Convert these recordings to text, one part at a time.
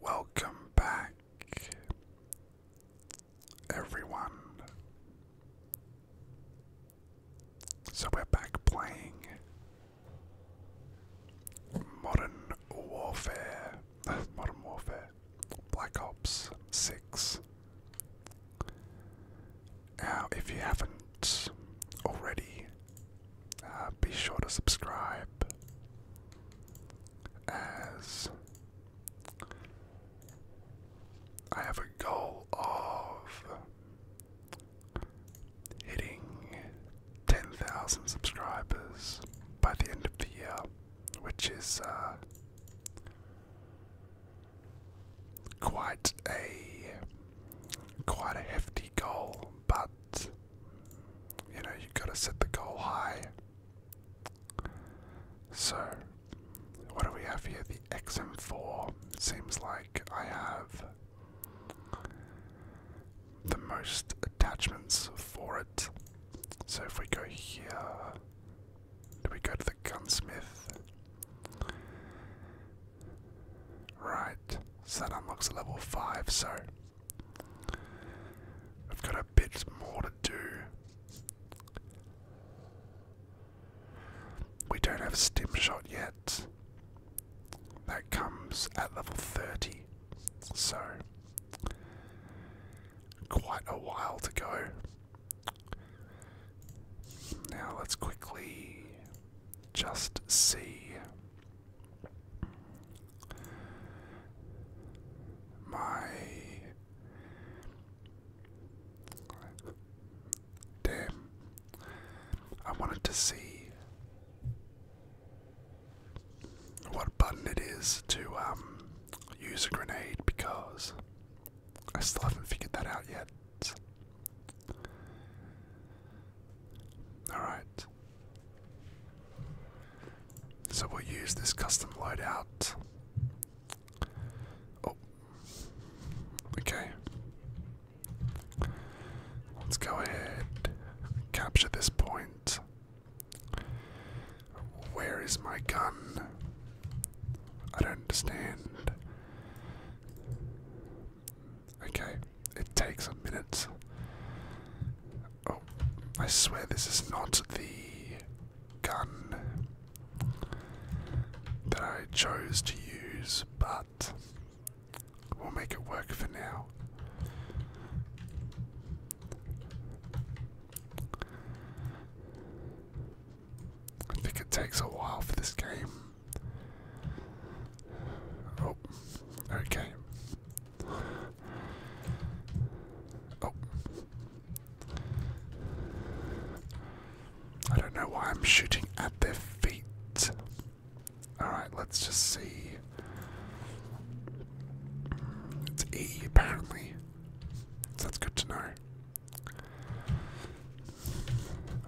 Welcome back, everyone. So we're back playing Modern Warfare, Modern Warfare, Black Ops 6. Now, if you haven't already, uh, be sure to subscribe as I have a goal of hitting 10,000 subscribers by the end of the year, which is uh, quite a quite a hefty goal but you know you have got to set the goal high. So, what do we have here? The XM4 seems like I have the most attachments for it. So, if we go here, do we go to the gunsmith? Right, so that unlocks level 5, so we've got a bit more to do. We don't have a stim shot yet. That comes at level 30, so quite a while to go. Now let's quickly just see my damn, I wanted to see what button it is to um, use a grenade because I still haven't figured that out yet. Alright. So we'll use this custom loadout. Oh. Okay. Let's go ahead. Capture this point. Where is my gun? I don't understand. Okay, it takes a minute. Oh, I swear this is not the gun that I chose to use, but we'll make it work for now. I think it takes a while for this game Oh, okay. Oh. I don't know why I'm shooting at their feet. Alright, let's just see. It's E apparently. So that's good to know.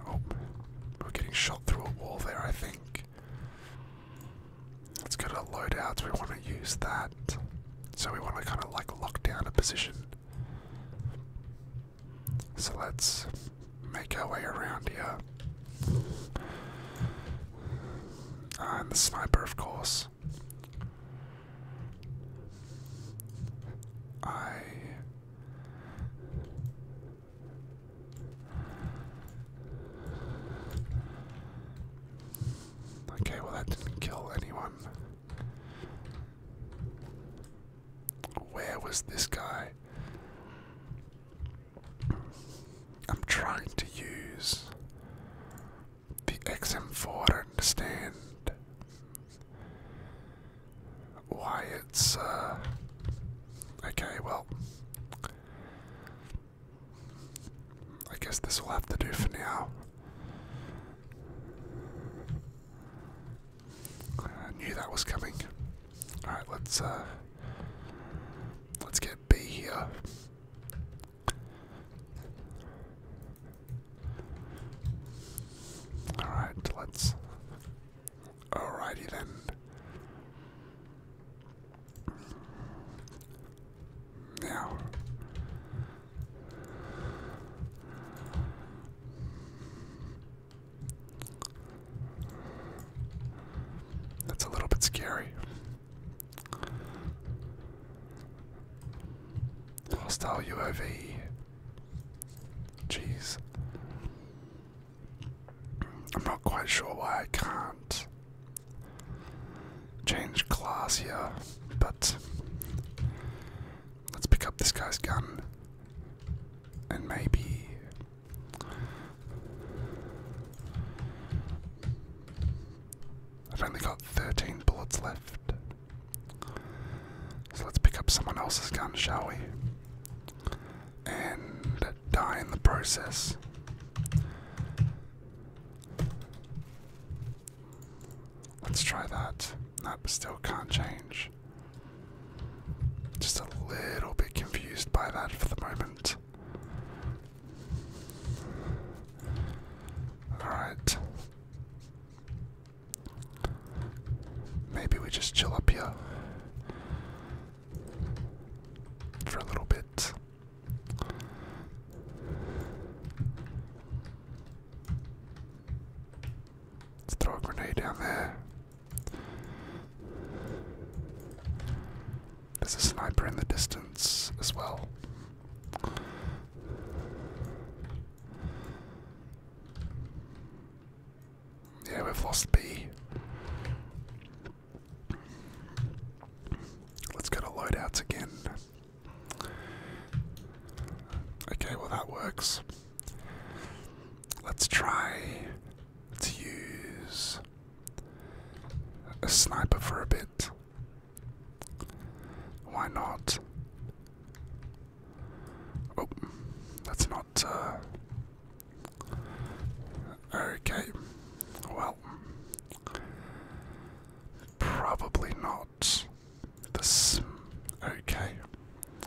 Oh, we're getting shot through a wall there, I think. Let's go to loadouts. We want to use that. So we want to kind of like lock down a position. So let's make our way around here. and the sniper, of course. I Okay, well, that didn't kill anyone. Where was this guy? I'm trying to use the XM4, understand why it's uh okay well I guess this will have to do for now. knew that was coming. Alright, let's uh, let's get B here. Alright, let's Alrighty then. Now, that's a little bit scary. Hostile UOV. Jeez. I'm not quite sure why I can't change class here, but let's pick up this guy's gun and maybe. I've only got 13 bullets left. So let's pick up someone else's gun, shall we? and die in the process. Let's try that. That still can't change. Just a little bit confused by that for the moment. Alright. Maybe we just chill up here for a little bit. Let's throw a grenade down there. There's a sniper in the distance as well. Yeah, we've lost B. Let's go to loadouts again. Okay, well, that works. Let's try to use a sniper for a bit. Why not? Oh, that's not. Uh... Okay, well, probably not. This. Okay,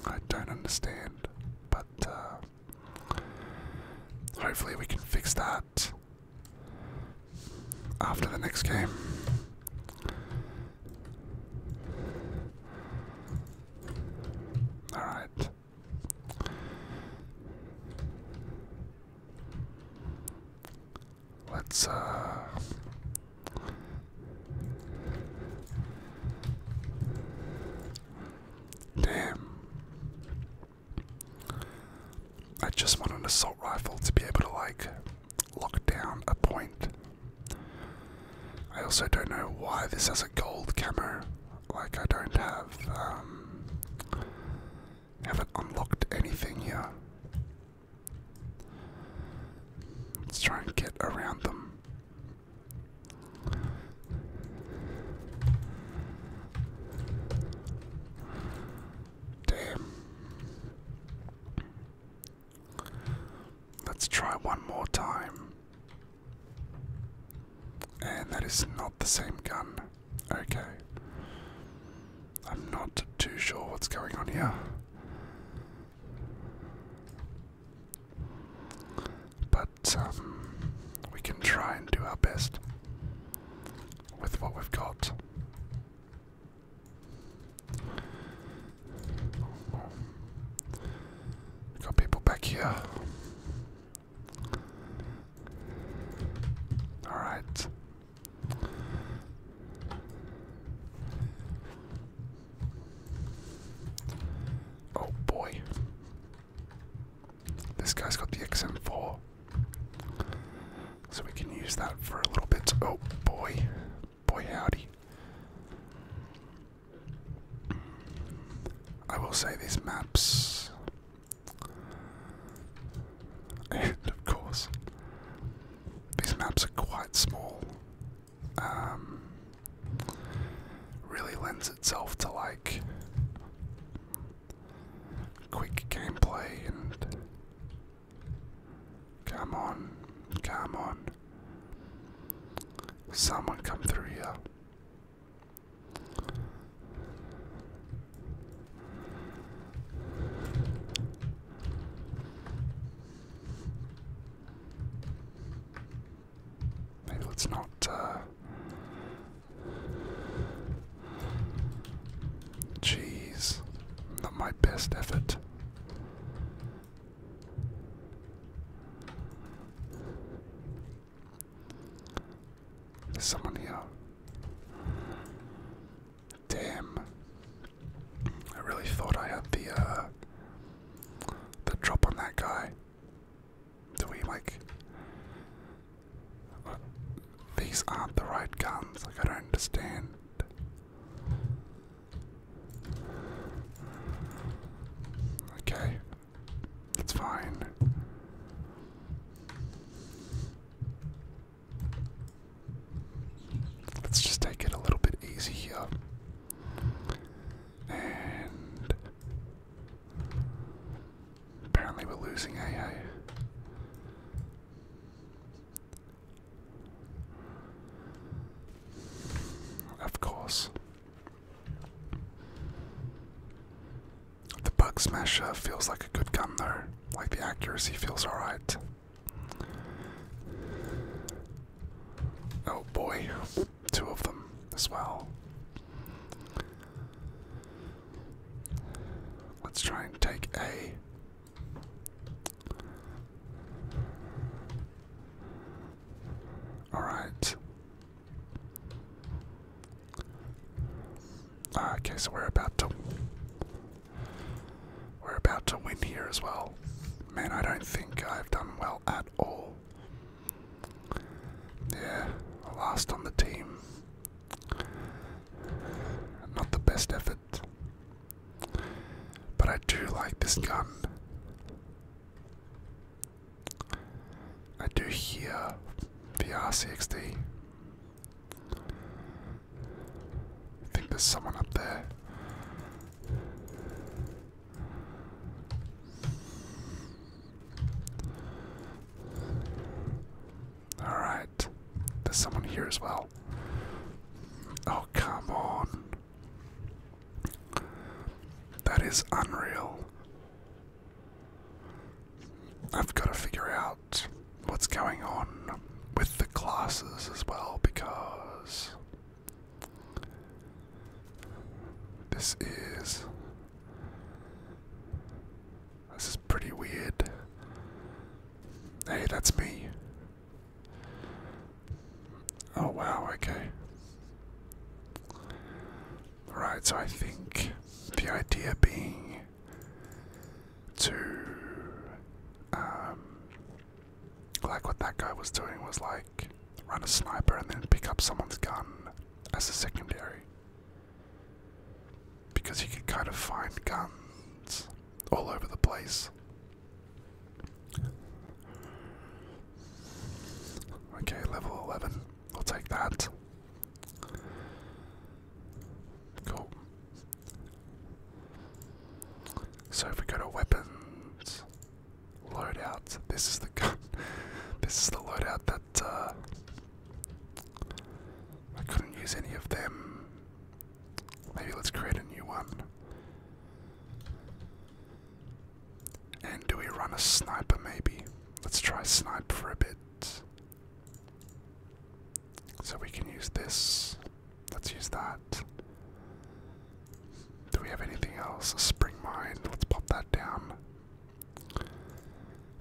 I don't understand, but uh, hopefully we can fix that after the next game. Alright. Let's, uh. Damn. I just want an assault rifle to be able to, like, lock down a point. I also don't know why this has a gold camo. Like I don't have um, haven't unlocked anything here. Let's try and get around them. Damn. Let's try one more time. And that is not the same gun. Okay. I'm not too sure what's going on here. But um, we can try and do our best with what we've got. got people back here. All right. Oh boy. This guy's got the XM4. So we can use that for a little bit. Oh boy. Boy howdy. I will say these maps, and of course, these maps are quite small. Um, really lends itself to like quick gameplay and come on, come on. Someone come through here. Maybe let's not Jeez, uh, not my best effort. There's someone here. Damn. I really thought I had the uh, the drop on that guy. Do we like uh, these aren't the right guns, like I don't understand. Okay, that's fine. Let's just take it a little bit easy here. And apparently we're losing AA. Of course. The Bug Smasher feels like a good gun though. Like the accuracy feels alright. Oh boy, two of them as well. Let's try and take A. Alright. Okay, so we're about to we're about to win here as well. Man, I don't think I've done well at all. Yeah, last on the team. Not the best effort. But I do like this gun. I do hear VR60. I think there's someone up there. Alright. There's someone here as well. Oh, come on. That is unreal. I've got to figure out what's going on with the classes as well because this is this is pretty weird. Hey, that's me. Oh wow, okay. Right, so I think the idea being to, um, like what that guy was doing was like run a sniper and then pick up someone's gun as a secondary. Because you can kind of find guns all over the place. Okay, level 11. i will take that. Cool. So if we go to weapons, loadout. This is the gun. This is the loadout that uh, I couldn't use any of them. Maybe let's create a new one. And do we run a sniper maybe? Let's try snipe for a bit. So we can use this. Let's use that. Do we have anything else? A spring mine. Let's pop that down.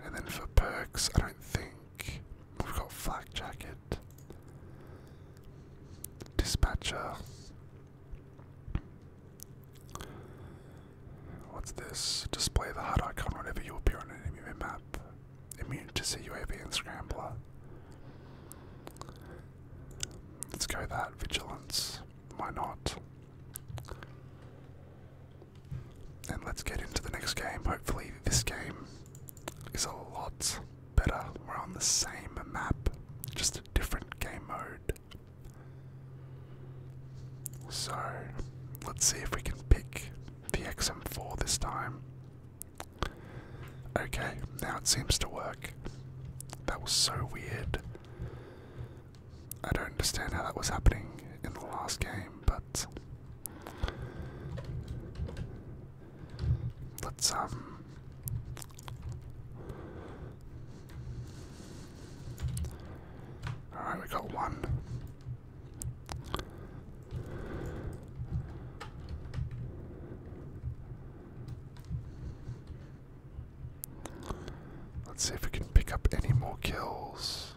And then for perks, I don't think we've got flak jacket. Dispatcher. What's this? Display the HUD icon whenever you appear on an enemy map. Immune to CUAV and Scrambler. Let's go that. Vigilance. Why not? And let's get into the next game. Hopefully, this game is a lot better. We're on the same map, just a different game mode good. So, let's see if we can pick the XM4 this time. Okay, now it seems to work. That was so weird. I don't understand how that was happening in the last game, but let's um Alright, we got one. Let's see if we can pick up any more kills.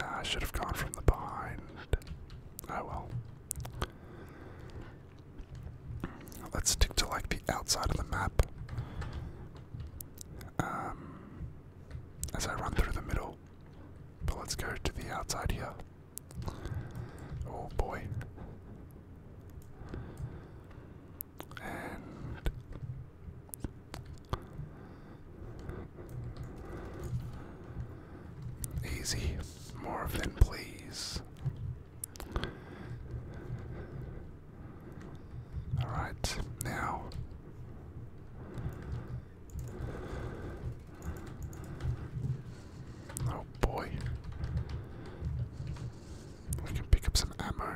Ah, I should have gone from the behind. Oh well. Let's stick to like the outside of the map. Um, as I run through the middle, but let's go to the outside here. Oh boy. And Easy. More than please. Alright, now. Oh boy. We can pick up some ammo.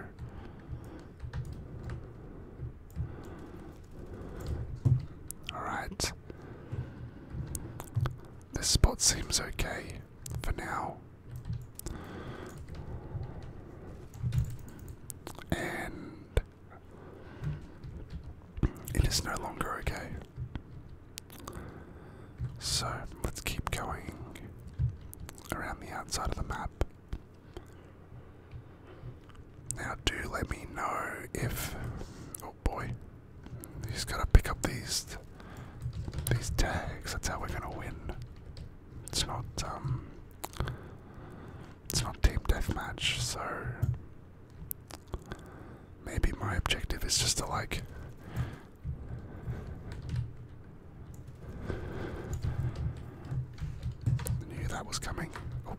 Alright. This spot seems okay for now. And it is no longer okay. So let's keep going around the outside of the map. Now, do let me know if. Oh boy, you just gotta pick up these these tags. That's how we're gonna win. It's not um it's not team deathmatch, so maybe my objective is just to like knew that was coming. Oh.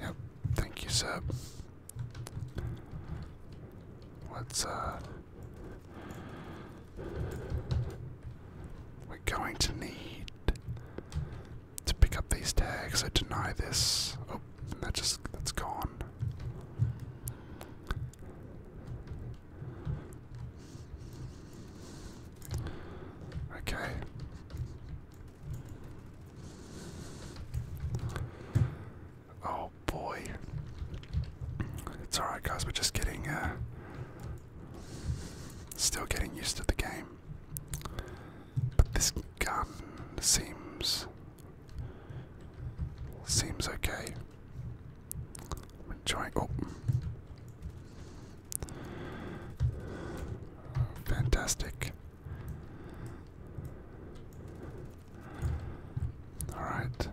Yep, thank you, sir. What's uh. We're going to need to pick up these tags. I deny this. Oh, that just. that's gone. Okay. Oh boy. It's alright, guys, we're just getting, uh, still getting used to the game. But this gun seems. seems okay. I'm oh. Fantastic. Alright.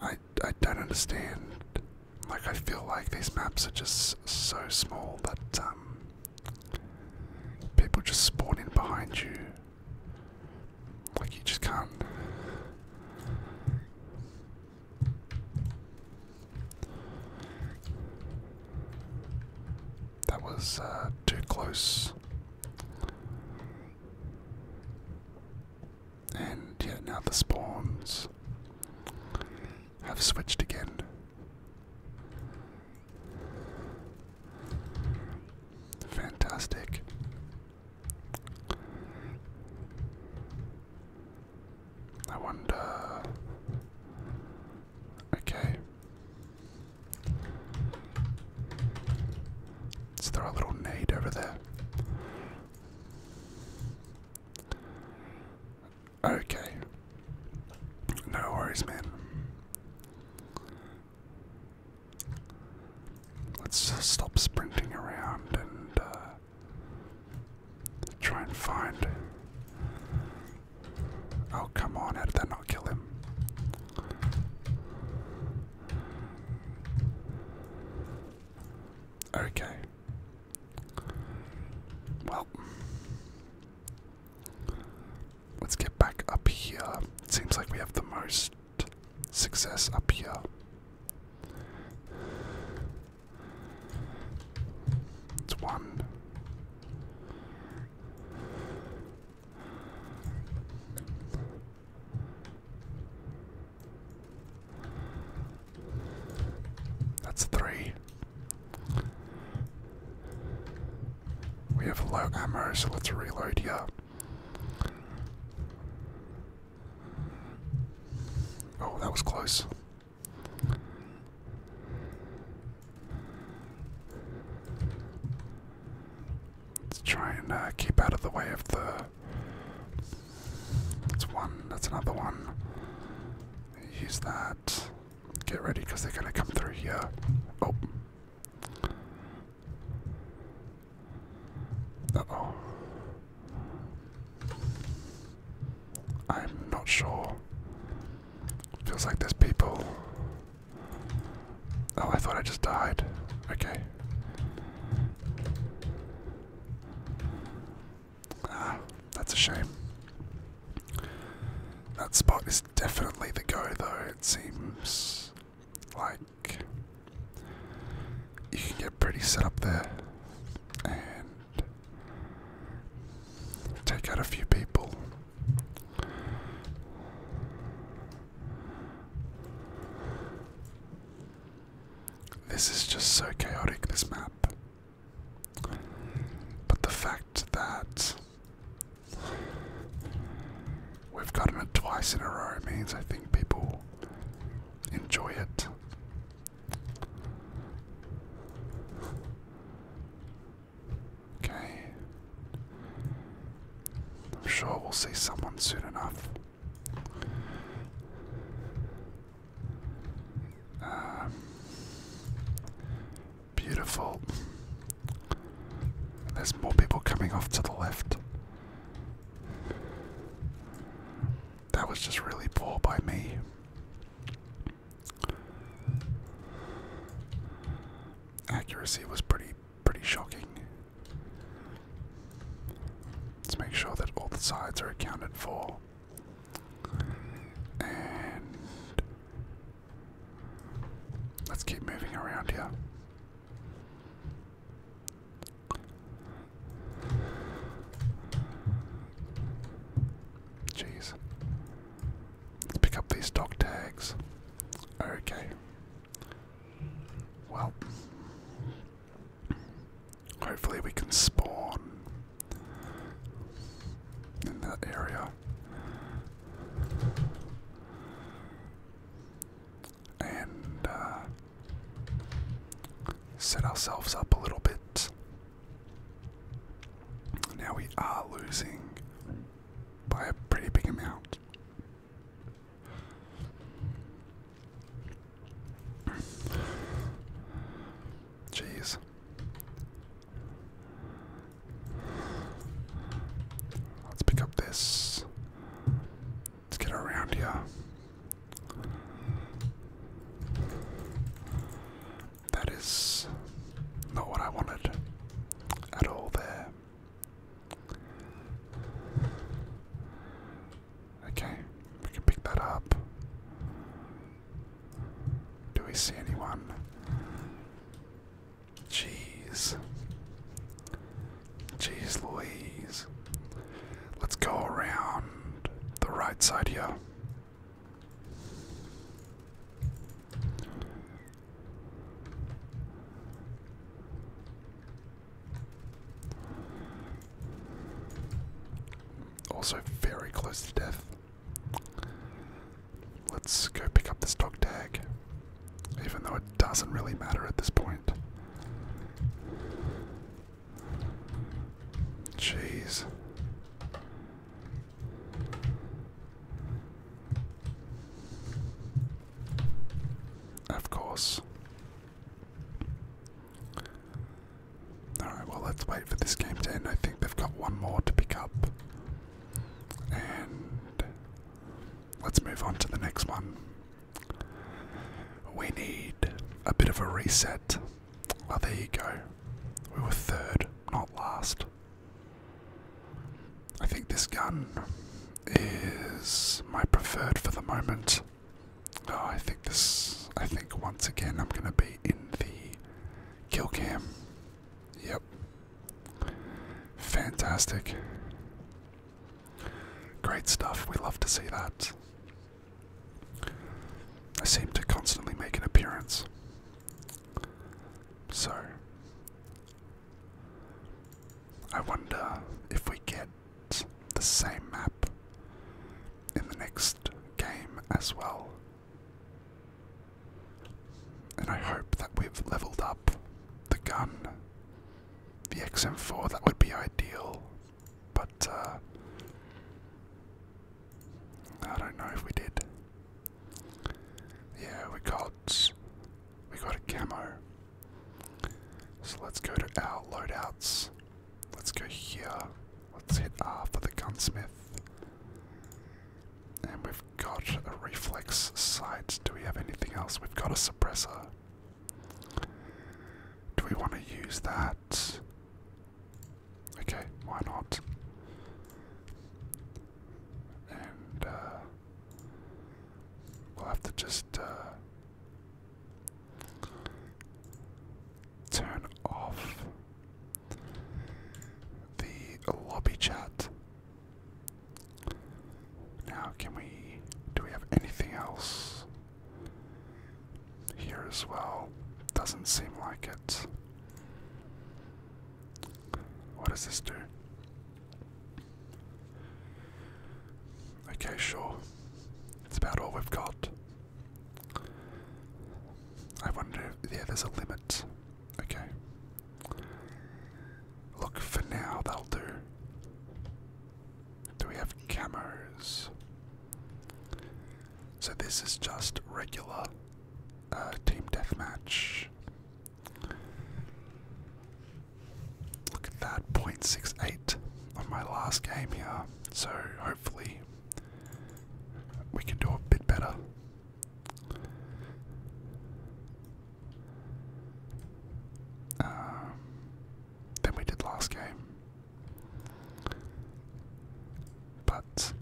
I, I don't understand. Like, I feel like these maps are just so small that um, people just spawn in behind you. Like, you just can't. That was uh, too close. And yeah, now the spawns have switched again. Fantastic. I wonder. Okay. Let's throw a little nade over there. Okay. No worries, man. Let's stop sprinting around and uh, try and find. Oh, come on, how did that not kill him? Okay. Well, let's get back up here. It seems like we have the most success up here. It's one. That's three. We have low ammo, so let's reload here. Oh, that was close. Let's try and uh, keep out of the way of the. That's one, that's another one. Use that. Get ready because they're going to come through here. Oh. oh. I'm not sure. Feels like there's people. Oh, I thought I just died. Okay. Ah, that's a shame. That spot is definitely the go, though. It seems like you can get pretty set up there take out a few people. This is just so chaotic, this map. But the fact that we've gotten it twice in a row means I think people enjoy it. Okay. I'm sure we'll see someone soon enough. Um, beautiful. There's more people coming off to the left. That was just really poor by me. Accuracy was pretty pretty shocking. Let's make sure that all the sides are accounted for. And let's keep moving around here. Jeez. Let's pick up these dog tags. Okay. Well. Hopefully we can spawn in that area. And uh, set ourselves up a little bit now we are losing by a pretty big amount. Jeez. Let's pick up this. Let's get around here. That is not what I wanted at all there. Okay, we can pick that up. Do we see anyone? Jeez. Jeez Louise. Let's go around the right side here. Also, very close to death. Let's go pick up this dog tag, even though it doesn't really matter at this point. Jeez. Of course. Alright, well, let's wait for this game to end. I think they've got one more to pick up. And let's move on to the next one. We need a bit of a reset. Well, there you go. We were third, not last. I think this gun is my preferred for the moment. Oh, I think this. I think once again I'm going to be in the kill cam. Yep. Fantastic. Great stuff. We love to see that. I seem to constantly make an appearance. So, I wonder if we get the same map in the next game as well. And I hope that we've leveled up the gun, the XM4, that would be ideal, but uh, I don't know if we did. Yeah, we got we got a camo. So let's go to our loadouts. Let's go here. Let's hit R for the gunsmith. And we've got a reflex sight. Do we have anything else? We've got a suppressor. Do we want to use that? Okay, why not? And uh, we'll have to just uh, turn off the lobby chat. Now, can we? Do we have anything else? here as well. Doesn't seem like it. What does this do? Okay, sure. It's about all we've got. I wonder if there's a limit. Okay. Look, for now, that'll do. Do we have cameras? So this is just regular uh, team deathmatch. Look at that, 0.68 on my last game here. So hopefully we can do a bit better. Um, than we did last game. But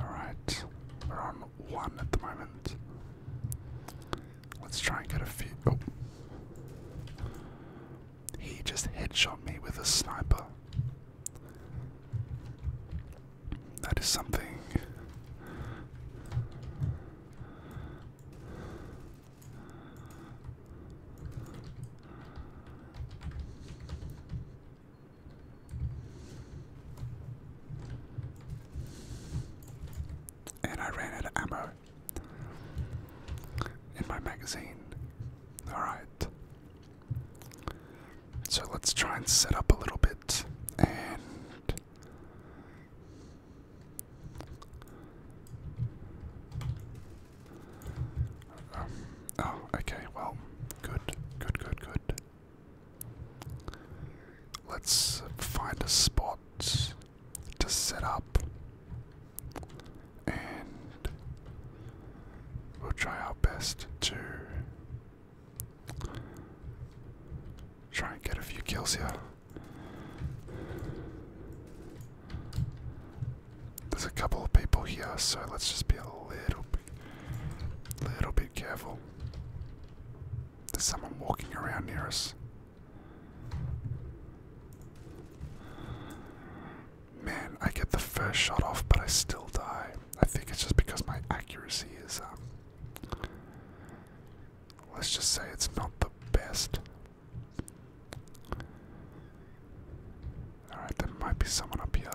Alright, we're on one at the moment. Let's try and get a few. Oh. He just headshot me with a sniper. That is something. And I ran out of ammo in my magazine. Alright. So let's try and set up a little bit and um, oh, okay, well, good, good, good, good. Let's find a spot to set up and we'll try our best to Try and get a few kills here. There's a couple of people here, so let's just be a little bit, little bit careful. There's someone walking around near us. Man, I get the first shot off, but I still die. I think it's just because my accuracy is um, Let's just say it's not the best. Alright, there might be someone up here.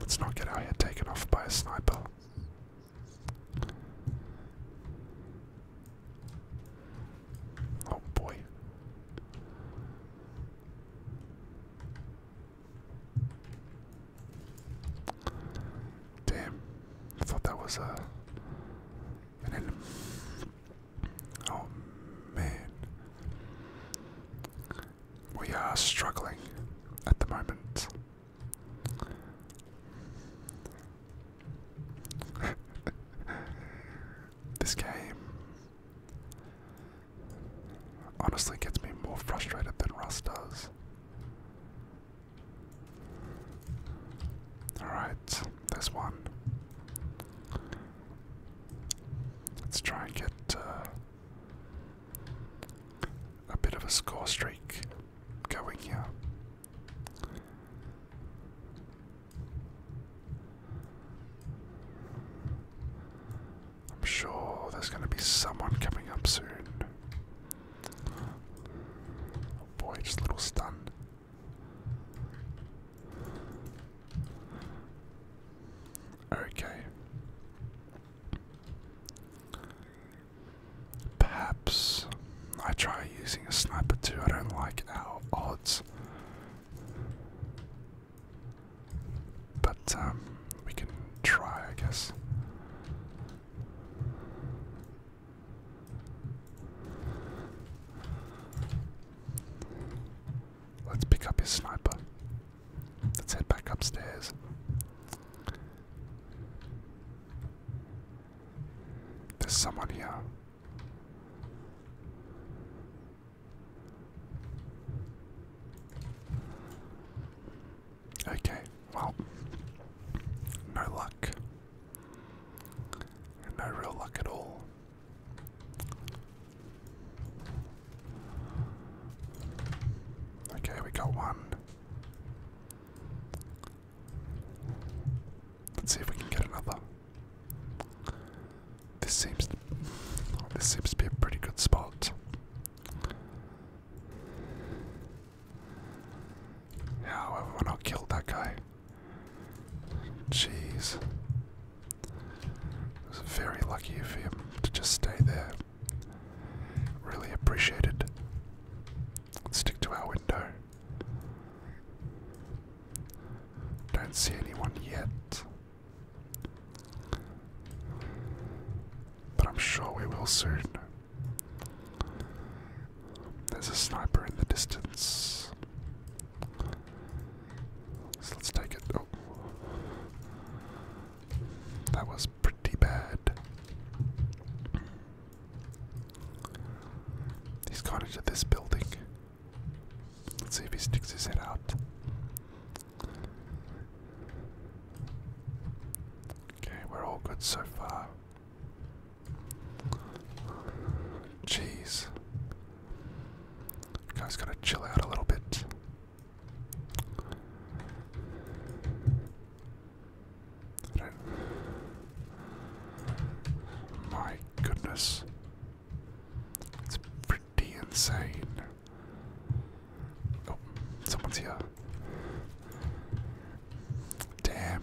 Let's not get our head taken off by a sniper. Oh boy. Damn. I thought that was uh, a Oh man. We are struggling at the moment. this game honestly gets me more frustrated than Rust does. Alright, there's one. Let's try and get uh, a bit of a score streak going here. I'm sure there's going to be someone coming up soon. Oh boy, just a little stunned. Okay. Perhaps I try using a sniper too. I don't like our odds. But um, we can try, I guess. Let's pick up his sniper. Let's head back upstairs. There's someone here. Okay, well, no luck. No real luck at all. Okay, we got one. Let's see if we can get another. This seems this seems to be a pretty good spot. however, when I killed that guy. Jeez. was very lucky of him to just stay there. Really appreciated. let stick to our window. Don't see anyone yet. But I'm sure we will soon. There's a sniper in the distance. So let's take it. Oh. That was pretty bad. He's got into this building. Let's see if he sticks his head out. Okay, we're all good so far. Jeez. You guys gotta chill out a little bit. My goodness. It's pretty insane. Oh, someone's here. Damn.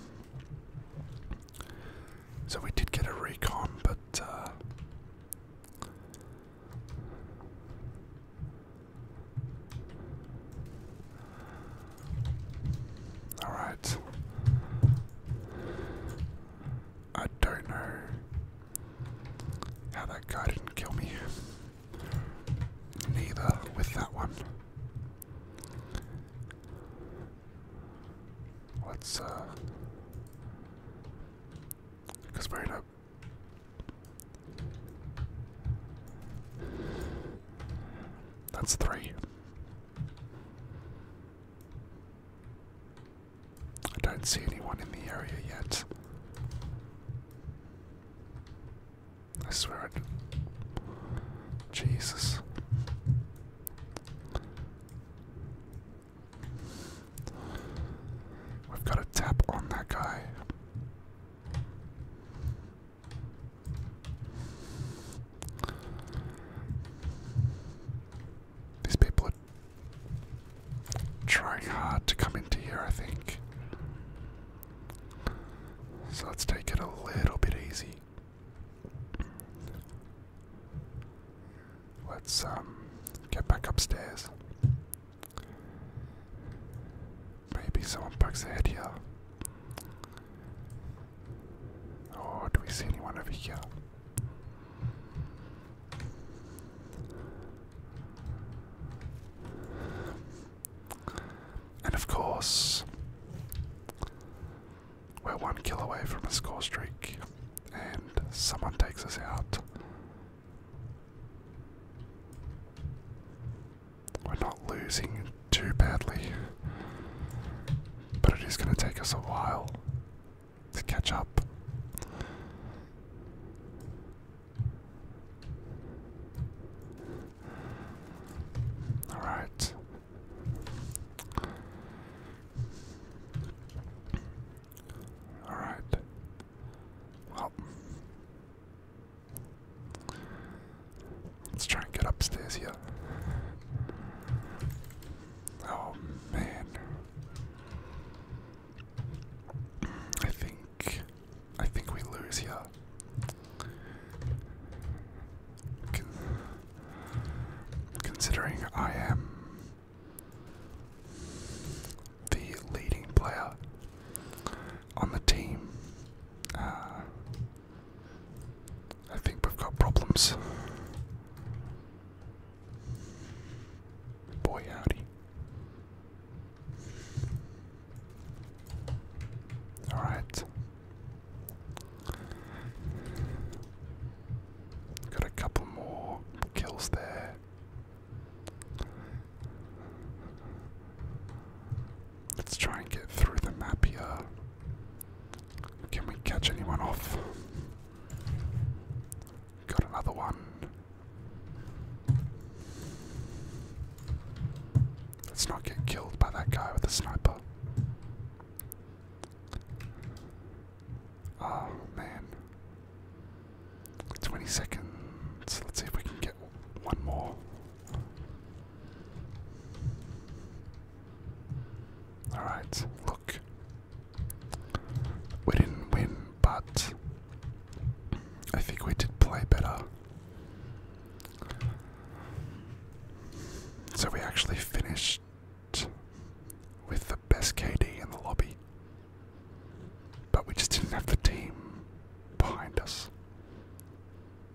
So we did get a recon, but uh, all right. I don't know how that guy didn't kill me. Neither with that one. What's uh. Because we're in That's three. I don't see anyone in the area yet. I swear it. Jesus. We've got to tap on that guy. These people trying hard to come into here, I think. So let's take it a little bit easy. Let's um, get back upstairs. Maybe someone bugs their head here. Or do we see anyone over here? And of course, we're one kill away from a score streak, and someone takes us out. We're not losing too badly, but it is going to take us a while to catch up. All right. All right. Well, let's try and get upstairs here. Oh man. I think I think we lose here. considering I am the leading player on the team, uh, I think we've got problems. Boy, howdy. Alright. Got a couple more kills there. Let's try and get through the map here. Can we catch anyone off? Got another one. Let's not get killed by that guy with the sniper. Oh man. 20 seconds. Let's see if we can get one more. Alright, look. We didn't win, but I think we did play better. So we actually finished with the best KD in the lobby, but we just didn't have the team behind us.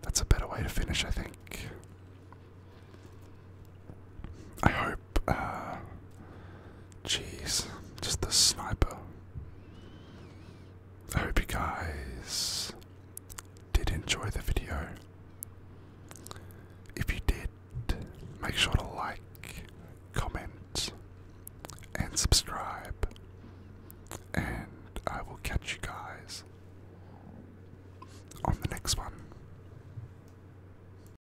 That's a better way to finish, I think. I hope uh, jeez, just the sniper. I hope you guys did enjoy the video. If you did, make sure to like, comment, and subscribe. And I will catch you guys on the next one.